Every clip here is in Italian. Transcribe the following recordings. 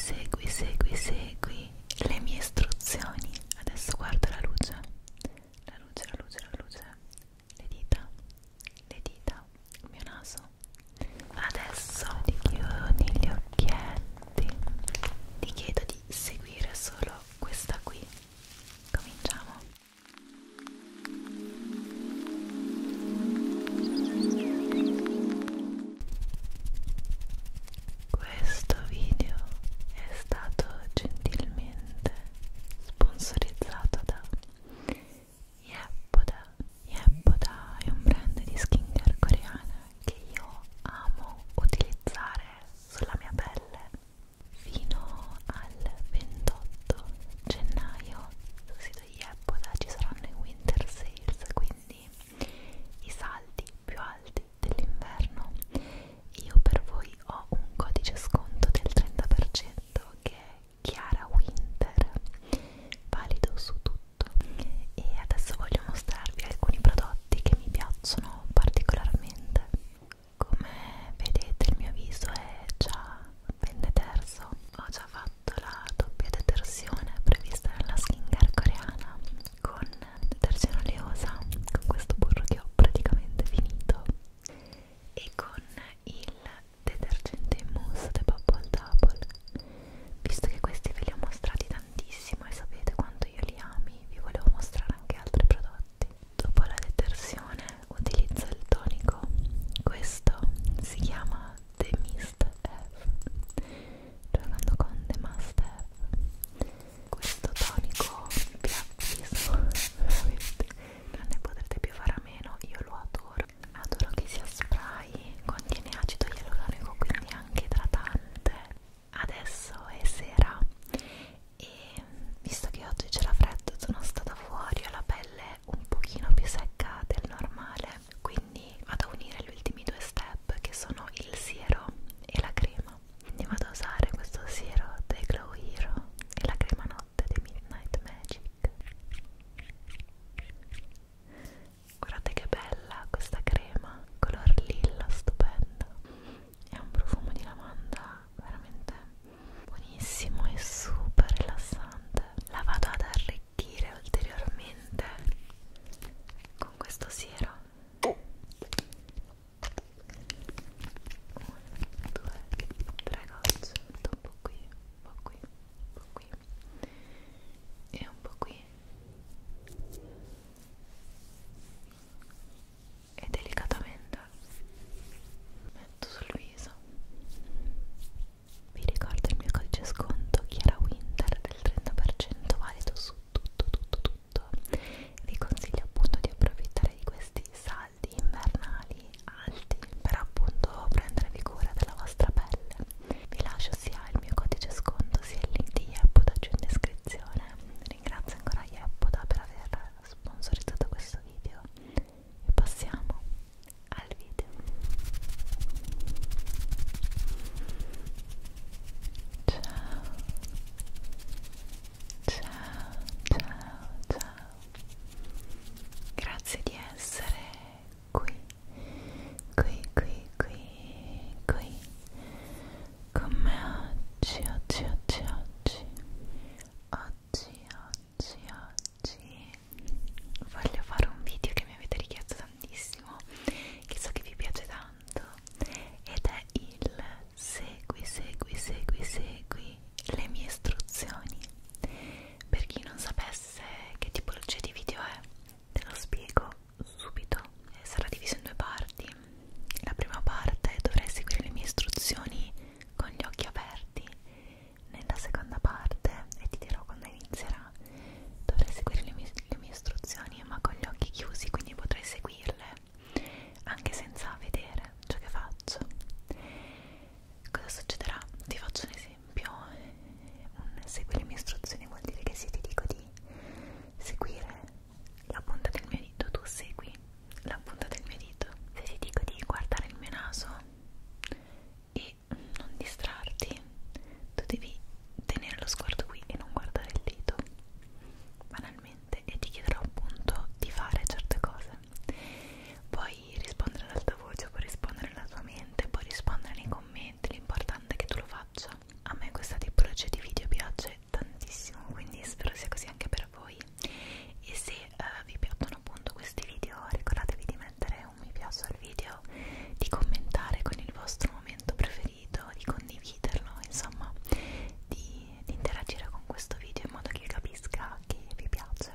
Segui, segui, segui le mie istruzioni. Adesso guarda la luce. La luce, la luce, la luce. Le dita, le dita, il mio naso. Adesso ti chiudi gli occhietti. Ti chiedo di seguire solo questa qui. Cominciamo. Questo video è stato gentilmente sponsorizzato da Yeppoda. Yeppoda è un brand di skincare coreana che io amo utilizzare sulla mia pelle. Fino al 28 gennaio sul sito Yeppoda ci saranno i winter sales, quindi quindi i saldi più alti dell'inverno io per voi ho un codice sconto del 30% che è Chiara Winter valido su tutto e adesso voglio mostrarvi alcuni prodotti che mi piacciono particolarmente come vedete il mio viso è già ben deterso ho già fatto la doppia detersione prevista nella skincare coreana con detersione oleosa con questo burro che ho praticamente finito e con il detergente in mousse di Bubble Double visto che questi ve li ho mostrati tantissimo e sapete quanto io li ami vi volevo mostrare anche altri prodotti dopo la detersione utilizzo il tonico questo si chiama The Mist F giocando con The Master questo tonico bianchissimo veramente non ne potrete più fare a meno io lo adoro adoro che sia spray contiene acido ialuronico quindi anche idratante adesso è sera e visto che oggi c'era freddo sono stata fuori ho la pelle un pochino più secca del normale quindi vado a unire gli ultimi due step che sono il siero e la crema quindi vado a usare questo siero dei Glow Hero e la crema notte dei Midnight Magic guardate che bella questa crema color lilla stupenda è un profumo di lavanda veramente buonissimo e super rilassante la vado ad arricchire irrigidire ulteriormente con questo siero 1, 2, 3 gocce un po' qui, un po' qui, un po' qui e un po' qui e delicatamente metto sul viso vi ricordo il mio codice sconto Chiara Winter del 30% valido su tutto tutto tutto vi consiglio appunto di approfittare di questi saldi invernali alti per appunto prendervi cura della vostra pelle vi lascio sia il mio codice sconto sia il link di Yepoda giù in descrizione ringrazio ancora Yepoda per aver sponsorizzato questo video e passiamo al video ciao ciao ciao grazie di essere qui qui qui qui qui con me oggi oggi oggi oggi oggi oggi oggi voglio fare un video che mi avete richiesto tantissimo che so che vi piace tanto tanto ed è il segui, segui, segui, segui le mie istruzioni. Per chi non sapesse che tipologia di video è, te lo spiego subito. Eh, sarà diviso in due parti. La prima parte dovrai seguire le mie istruzioni con gli occhi aperti. Nella seconda parte, e ti dirò quando inizierà, libera dovrai seguire le mie, le mie istruzioni ma con gli occhi chiusi quindi potrai seguirle anche senza vedere ciò che faccio cosa succederà? ti faccio un esempio un segui le mie istruzioni vuol dire che se ti dico di seguire la punta del mio dito tu segui la punta del mio dito se ti dico di guardare il mio naso e non distrarti tu devi tenere lo sguardo qui e non guardare il dito banalmente e ti chiederò appunto di fare certe cose puoi rispondere ad alta voce puoi rispondere alla tua mente puoi rispondere nei commenti l'importante è che tu lo faccia a me questa tipologia di video piace tantissimo quindi spero sia così anche per voi e se uh, vi piacciono appunto questi video ricordatevi di mettere un mi piace al video di commentare con il vostro momento argomento preferito, di condividerlo, insomma, di, di interagire con questo video in modo che capisca che vi piace.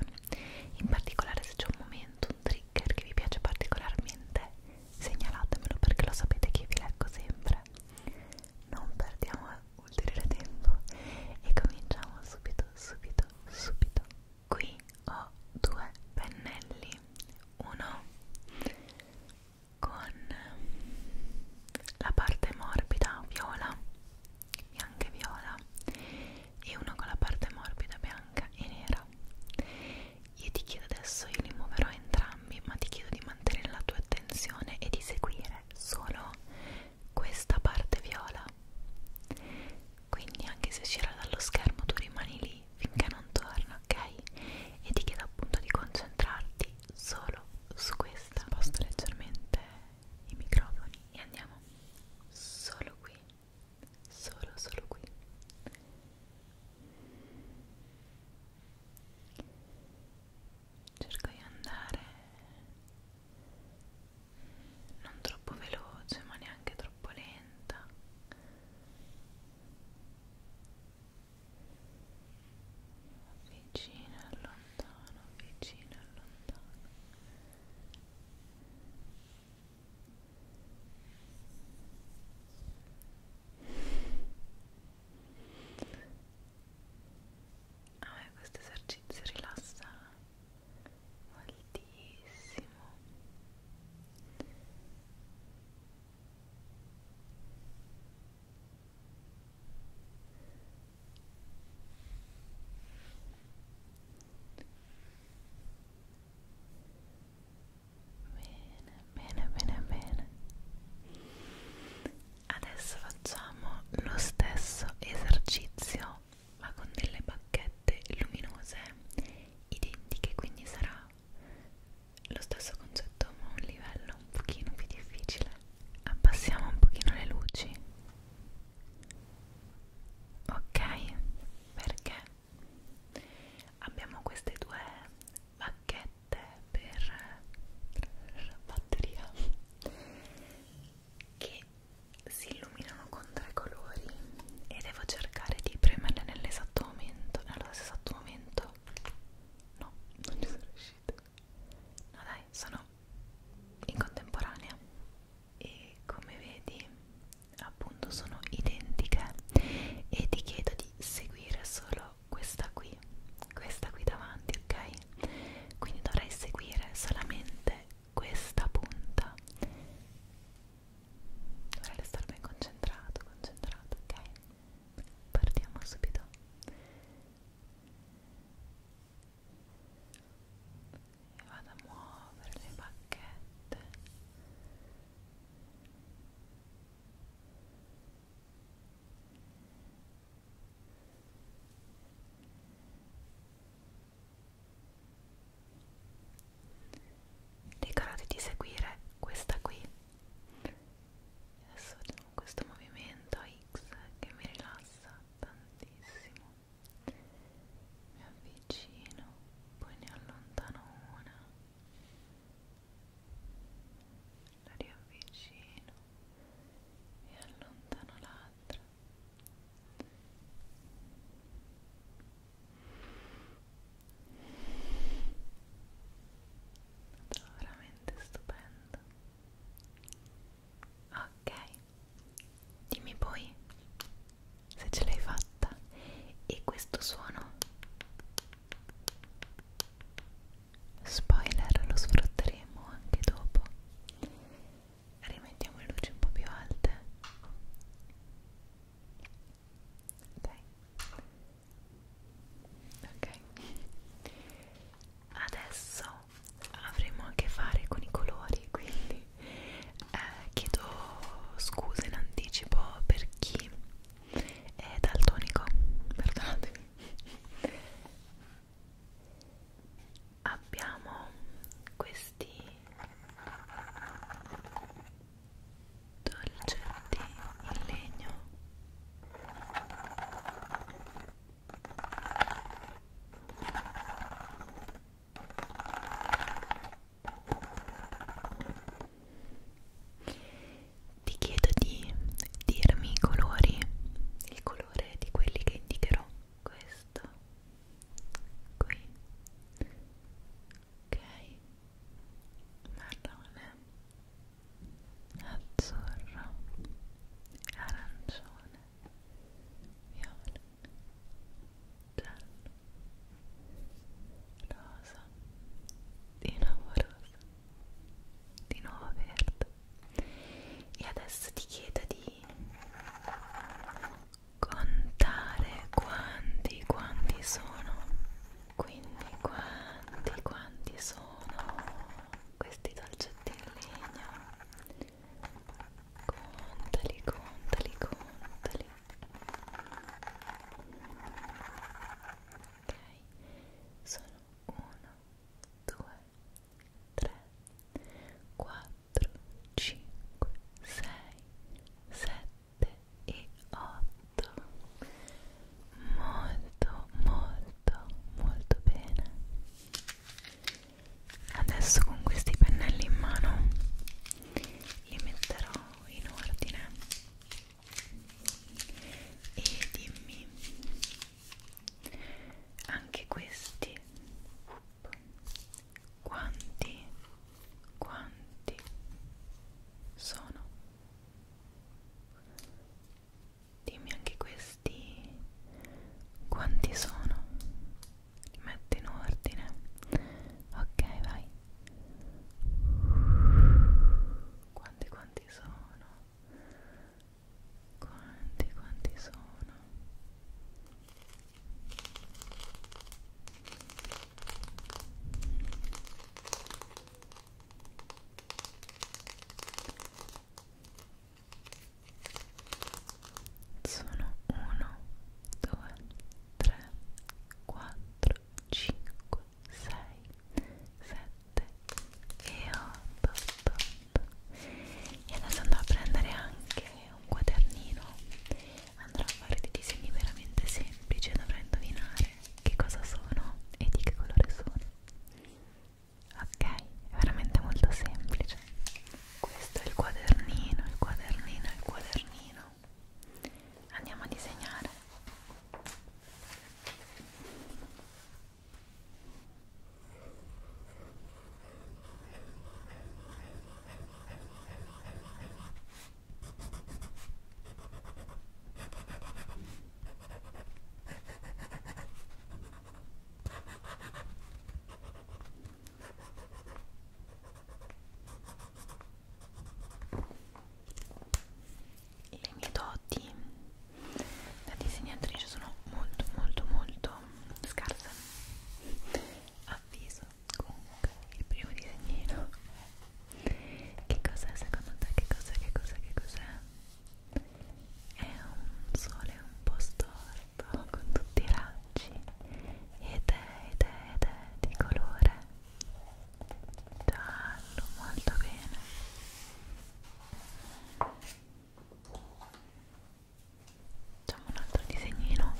In particolare se c'è un momento, un trigger che vi piace particolarmente, segnalatemelo perché lo sapete che vi leggo sempre. Non perdiamo ulteriore tempo e cominciamo subito, subito, subito. Qui ho due pennelli, uno con la parte morbida viola, bianca e viola e uno con la parte morbida bianca e nera. Io ti chiedo adesso, io li muoverò entrambi, ma ti chiedo di mantenere la tua attenzione e di seguire solo questa parte viola. Quindi anche se uscirà dallo schermo tu rimani lì lei finché non torna, ok? E ti chiedo appunto di concentrarti solo su questa. Sposto leggermente i microfoni e andiamo solo qui, solo, solo qui. Cerco di andare non troppo veloce ma neanche troppo lenta vicino e lontano, vicino e lontano a ah, me questo esercizio rilassa moltissimo Bene, bene, bene, bene. Adesso facciamo lo stesso esercizio ma con delle bacchette luminose identiche, quindi sarà lo stesso concetto ma a un livello un pochino più difficile abbassiamo un pochino le luci ok perché abbiamo queste due bacchette per batteria che si illuminano con tre colori e devo cercare di premerle nell'esatto momento, nello stesso momento No, non ci sono riuscita. No dai, sono in contemporanea e come vedi appunto sono identiche e ti chiedo di seguire solo questa qui, questa qui davanti, ok? Quindi dovrai seguire solamente questa punta. Dovrei stare ben concentrato, concentrato, ok? partiamo subito e vado a muovere le bacchette Ricordati di seguire questa qui adesso facciamo questo movimento X che mi rilassa tantissimo mi avvicino poi ne allontano una la riavvicino e allontano l'altra sono veramente stupendo. Ok, dimmi poi se ce l'hai fatta e questo suono spoiler lo sfrutteremo anche dopo rimettiamo le luci un po' più alte dai ok adesso avremo a che fare con i colori quindi eh, chiedo scusa in anticipo per chi è daltonico perdonatemi abbiamo questi dolce di legno ti chiedo di dirmi i colori il colore di quelli che indicherò questo qui ok marrone, azzurro, arancione, viola, giallo, rosa, di nuovo rosa, di nuovo verde. E adesso ti chiedo di contare quanti, quanti sono quindi quanti quanti sono questi dolcetti in legno contali contali contali ok sono 1 2 3 4 5 6 7 e 8 molto molto molto bene adesso con questi pennelli in mano li metterò in ordine e dimmi anche questi quanti quanti sono Dimmi anche questi quanti sono. Li metto in ordine. Ok, vai. Quanti quanti sono? Quanti quanti sono? ok sono 1 2 3 4 5 6 7 e 8, 8, 8 e adesso andrò a prendere anche un quadernino andrò a fare dei disegni veramente semplici e dovrò indovinare che cosa sono e di che colore sono ok è veramente molto semplice questo è il quadernino il quadernino il quadernino andiamo a disegnare ok le mie doti da disegnatrice sono molto molto molto scarse avviso comunque il primo disegnino che cos'è secondo te? Che cos'è? Che cos'è? Che cos'è? È un sole un po' storto con tutti i raggi ed è, ed è, ed è di colore giallo, molto bene. Facciamo un altro disegnino.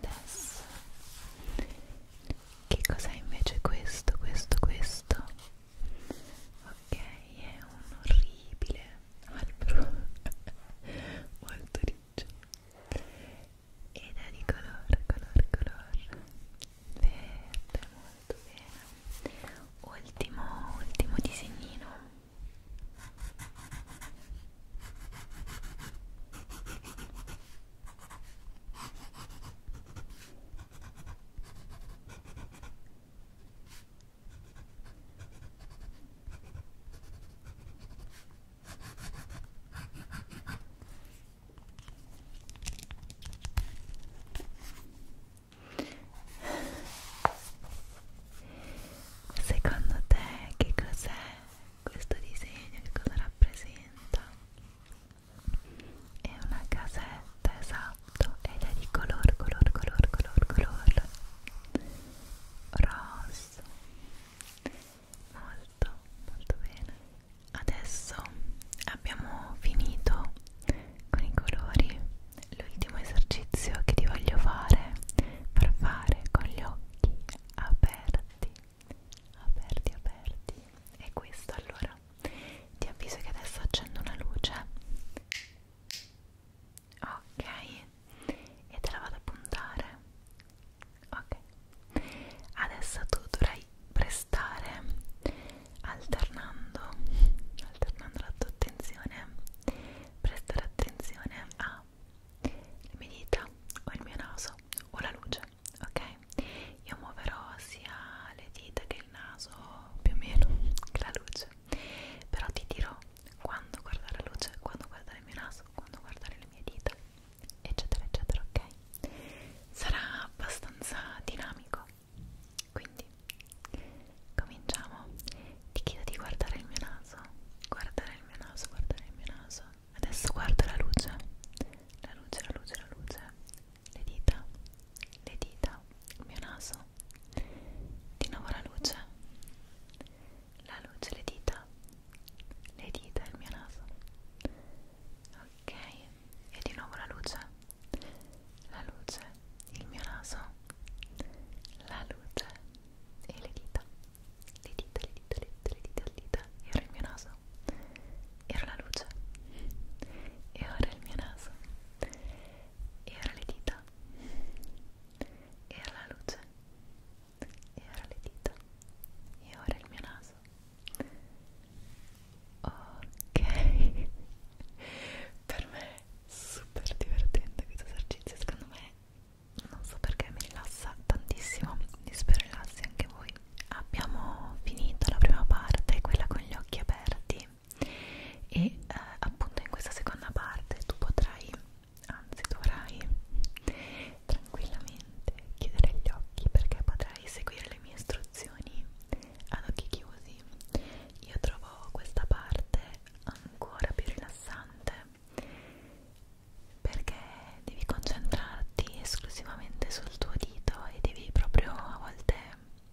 Adesso che cos'è invece questo, questo, questo? ok è un orribile albero molto riccio ed è di colore colore colore verde molto bene ultimo ultimo disegnino ok Secondo te che cos'è questo disegno? Che cosa rappresenta? È una casetta, esatto gatto ed è di color, color, color, color, color rosso molto, molto bene adesso abbiamo finito con i colori l'ultimo esercizio che ti voglio fare per fare con gli occhi aperti aperti, aperti è questo allora ti avviso che adesso accendo una luce ok e te la vado a puntare ok adesso tu dovrai prestare alternando alternando la tua attenzione prestare attenzione a le mie dita o il mio naso o la luce ok io muoverò sia le dita che il naso più o meno che la luce però ti dirò quando guardare la luce, quando guardare il mio naso, quando guardare le mie dita, eccetera, eccetera, ok? Sarà abbastanza dinamico, quindi cominciamo. Ti chiedo di guardare il mio naso, guardare il mio naso, guardare il mio naso. Adesso guarda la luce, la luce, la luce, la luce, le dita, le dita, il mio naso, di nuovo la luce la luce, le dita le dita e il mio naso ok e di nuovo la luce la luce, il mio naso la luce e le dita le dita, le dita, le dita, le dita, le dita e ora il mio naso e ora la luce e ora il mio naso e ora le dita e alla luce e ora le dita e ora il mio naso ok per me è super divertente questo esercizio secondo me non so perché mi rilassa tantissimo quindi spero rilassi anche voi abbiamo finito la prima parte quella con gli occhi aperti e eh, appunto in questa seconda parte tu potrai, anzi dovrai tranquillamente chiudere gli occhi perché potrai seguire le mie istruzioni ad occhi chiusi io trovo questa parte ancora più rilassante perché devi concentrarti esclusivamente sul tuo dito e devi proprio a volte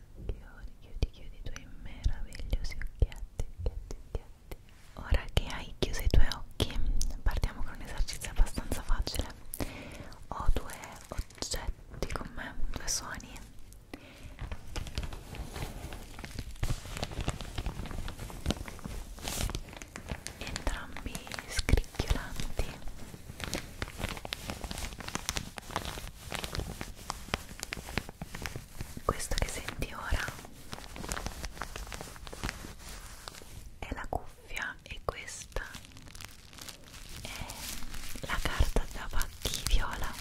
Chiudi, chiudi, chiudi i tuoi meravigliosi occhietti, occhietti, occhietti. Ora che hai chiuso i tuoi occhi, partiamo con un esercizio abbastanza facile. Ho due oggetti con me, due suoni. Entrambi scricchiolanti questo che senti ora è la cuffia e questa è la carta da pacchi viola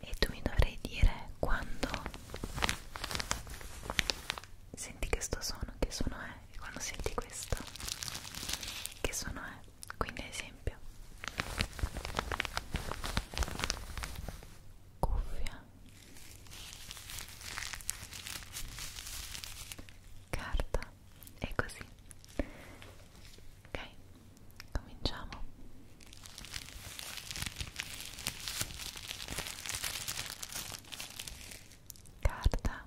e tu mi dovrai dire quando senti questo suono che suono è eh, quando senti questo che suono è quindi ad esempio cuffia carta e così ok cominciamo carta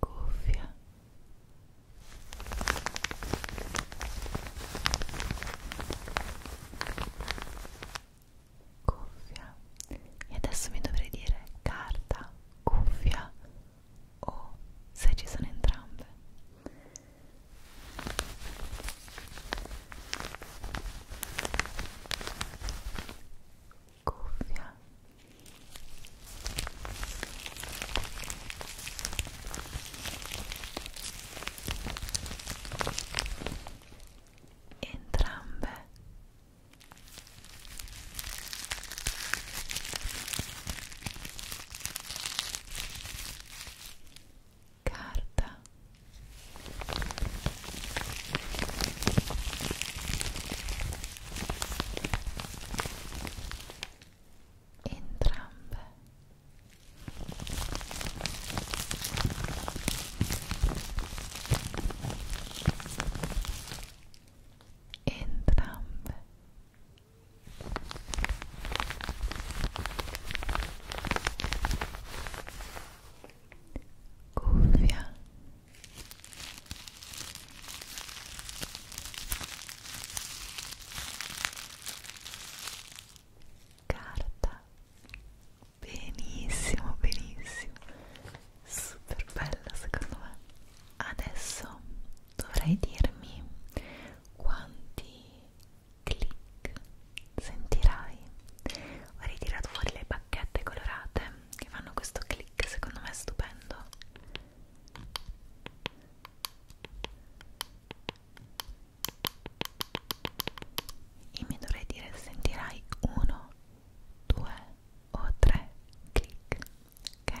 cuffia cuffia e adesso mi dovrei dire carta, cuffia o se ci sono entrambe cuffia entrambe carta entrambe entrambe cuffia carta benissimo benissimo super bella secondo me adesso dovrai dirmi quanti clic sentirai ho ritirato fuori le bacchette colorate che fanno questo click secondo me è stupendo e mi dovrei dire sentirai uno due o tre click ok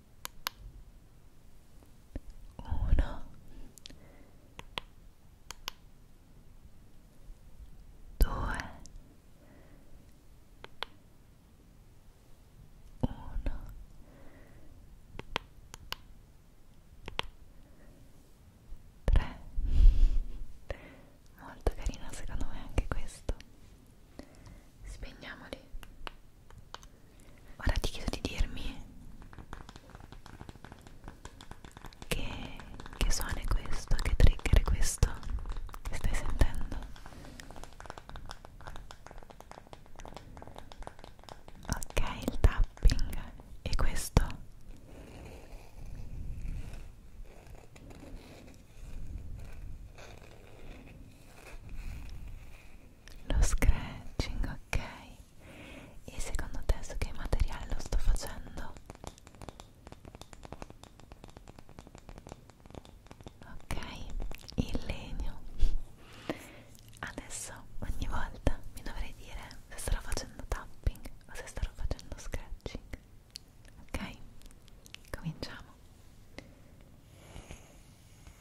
uno due uno tre molto carina secondo me anche questo spegniamoli Ora ti chiedo di dirmi che, che suono è questo, che trigger è questo che stai sentendo. Ok, il tapping e questo lo scratching ok e secondo te su che materiale lo sto facendo ok il legno adesso ogni volta mi dovrei dire se starò facendo tapping o se starò facendo scratching ok cominciamo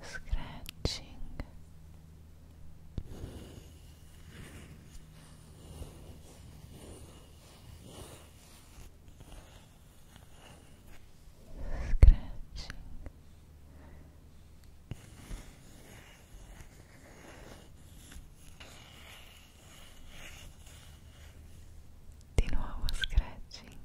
scratching scratching di nuovo scratching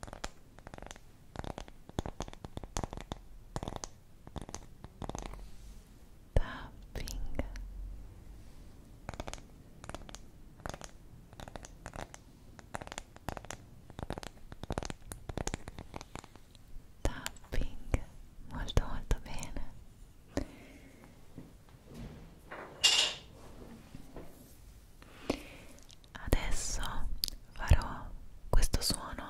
tapping tapping molto molto bene Adesso farò questo suono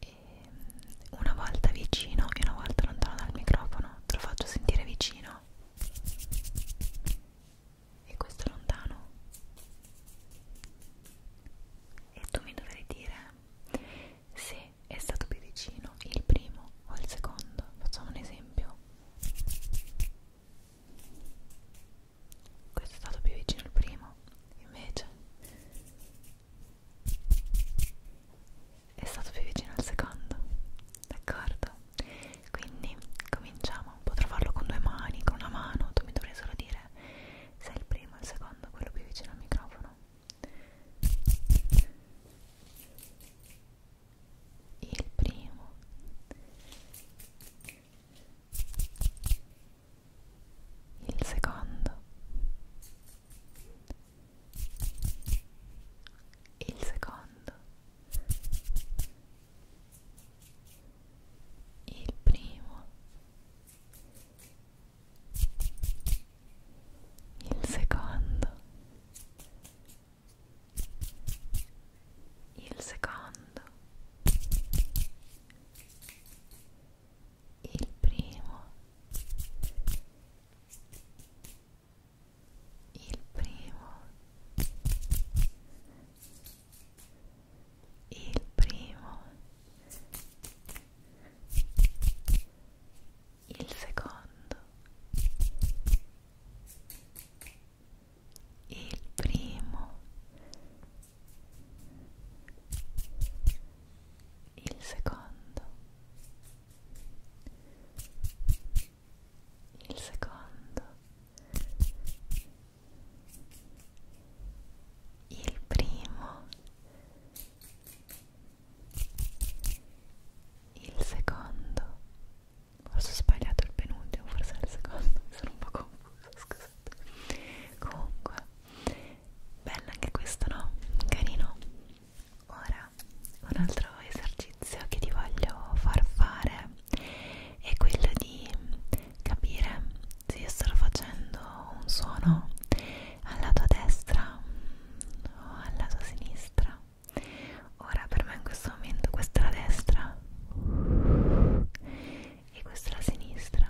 e una volta vicino e una volta lontano dal microfono, te lo faccio sentire vicino e questo lontano e tu mi dovrai dire se è stato più vicino il primo o il secondo facciamo un esempio questo è stato più vicino il primo invece è stato più vicino al secondo d'accordo quindi cominciamo potrò farlo con due mani con una mano tu mi dovrai solo dire se è il primo o il secondo quello più vicino al microfono il primo il secondo il secondo il primo il secondo il secondo il primo il primo il primo il secondo, il primo, il secondo, il secondo, il primo il il secondo forse ho sbagliato il penultimo forse è il secondo sono un po' confusa scusate comunque bella anche questo no? carino ora un altro esercizio che ti voglio far fare è quello di capire se io sto facendo un suono alla tua destra o alla tua sinistra ora per me in questo momento questa è la destra e questa è la sinistra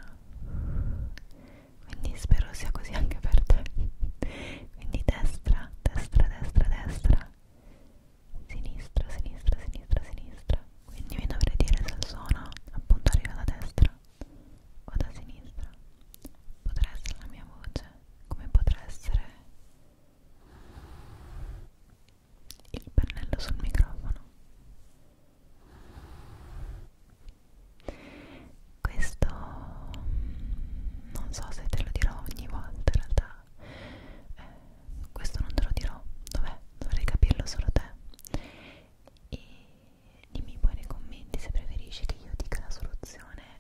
quindi spero sia così anche per te quindi destra, destra, destra, destra sinistra, sinistra, sinistra, sinistra quindi mi dovrei dire se il suono appunto arriva da destra o da sinistra potrà essere la mia voce come potrà essere il pennello sul microfono questo mm, non so se te lo dirò ogni volta in realtà eh, questo non te lo dirò dov'è dovrei capirlo solo te e dimmi poi nei commenti se preferisci che io dica la soluzione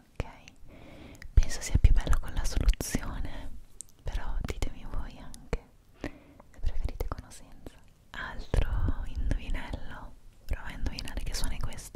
Ok, penso sia più bello con la soluzione, però ditemi voi anche se preferite con o senza altro indovinello prova a indovinare che suona questo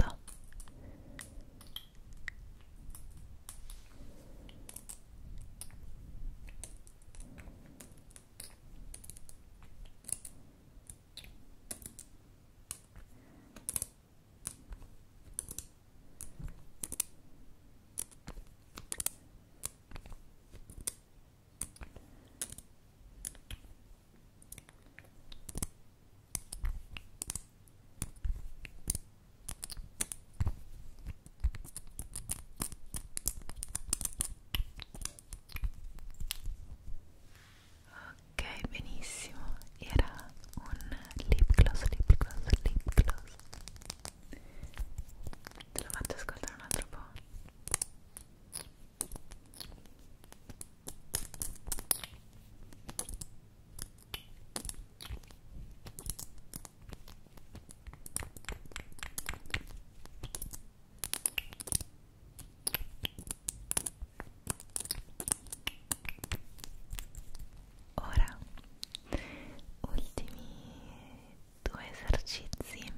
Ok, benissimo. Era un lip gloss, lip gloss, lip gloss. Te lo faccio ascoltare un altro po'. Ora, ultimi due esercizi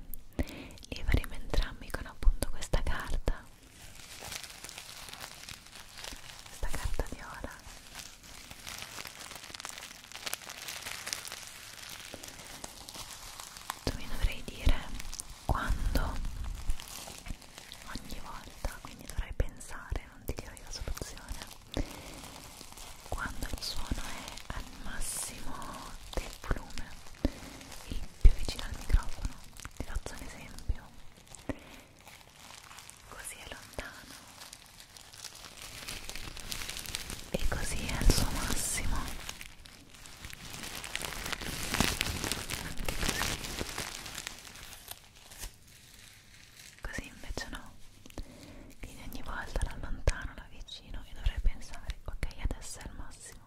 li faremo entrambi con appunto questa carta questa carta viola tu mi dovrai dire quando ogni volta quindi dovrai pensare non ti dirò io la soluzione quando il suono è al massimo del volume il più vicino al microfono ti faccio un esempio così è lontano e così è al suo massimo anche così così invece no quindi ogni volta la allontano la vicino e dovrei pensare ok adesso è al massimo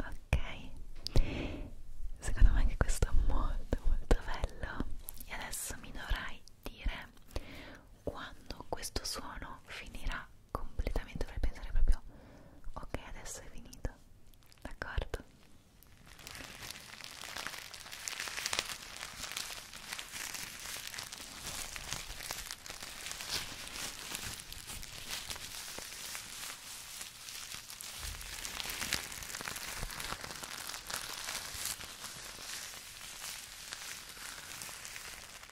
Ok, secondo me anche questo è molto molto bello e adesso mi dovrai dire quando questo suono finirà completamente, dovrei pensare proprio ok adesso è finito, d'accordo?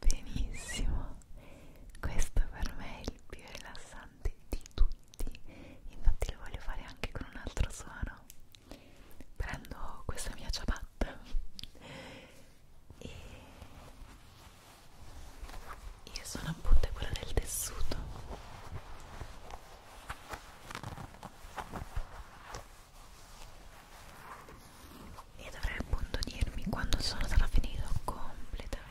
Benissimo, questo per me è il più rilassante di tutti, infatti lo voglio fare anche con un altro suono. Prendo questa mia ciabatta e io sono appunto quella del tessuto e dovrei appunto dirmi quando sono sarà finito completamente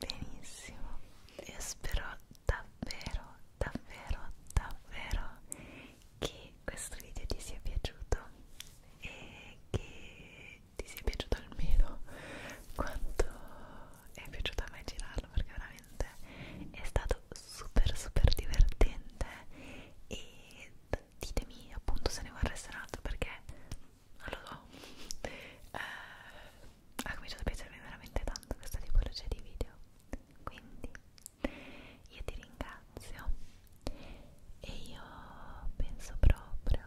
Benissimo, io spero davvero, davvero, davvero che questo video ti sia piaciuto e che ti sia piaciuto almeno quanto è piaciuto a me girarlo perché veramente veramente è stato super super divertente e ditemi appunto se ne vorreste un altro perché non lo so eh, ha cominciato a piacermi veramente tanto questa tipologia di video quindi io ti ringrazio e io penso proprio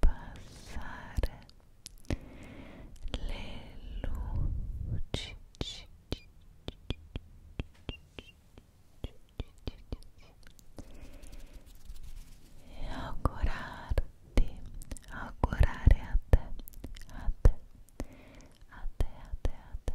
abbassare le luci e augurarti, augurare a te, a te, a te, a te, a te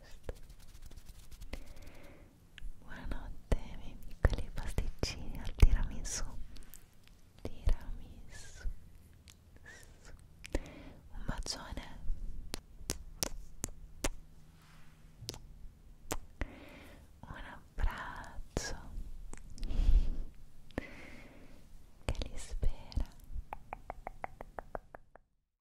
posto buonanotte miei piccoli pasticcini al tiramisù tiramisù un bacione un abbraccio che li spera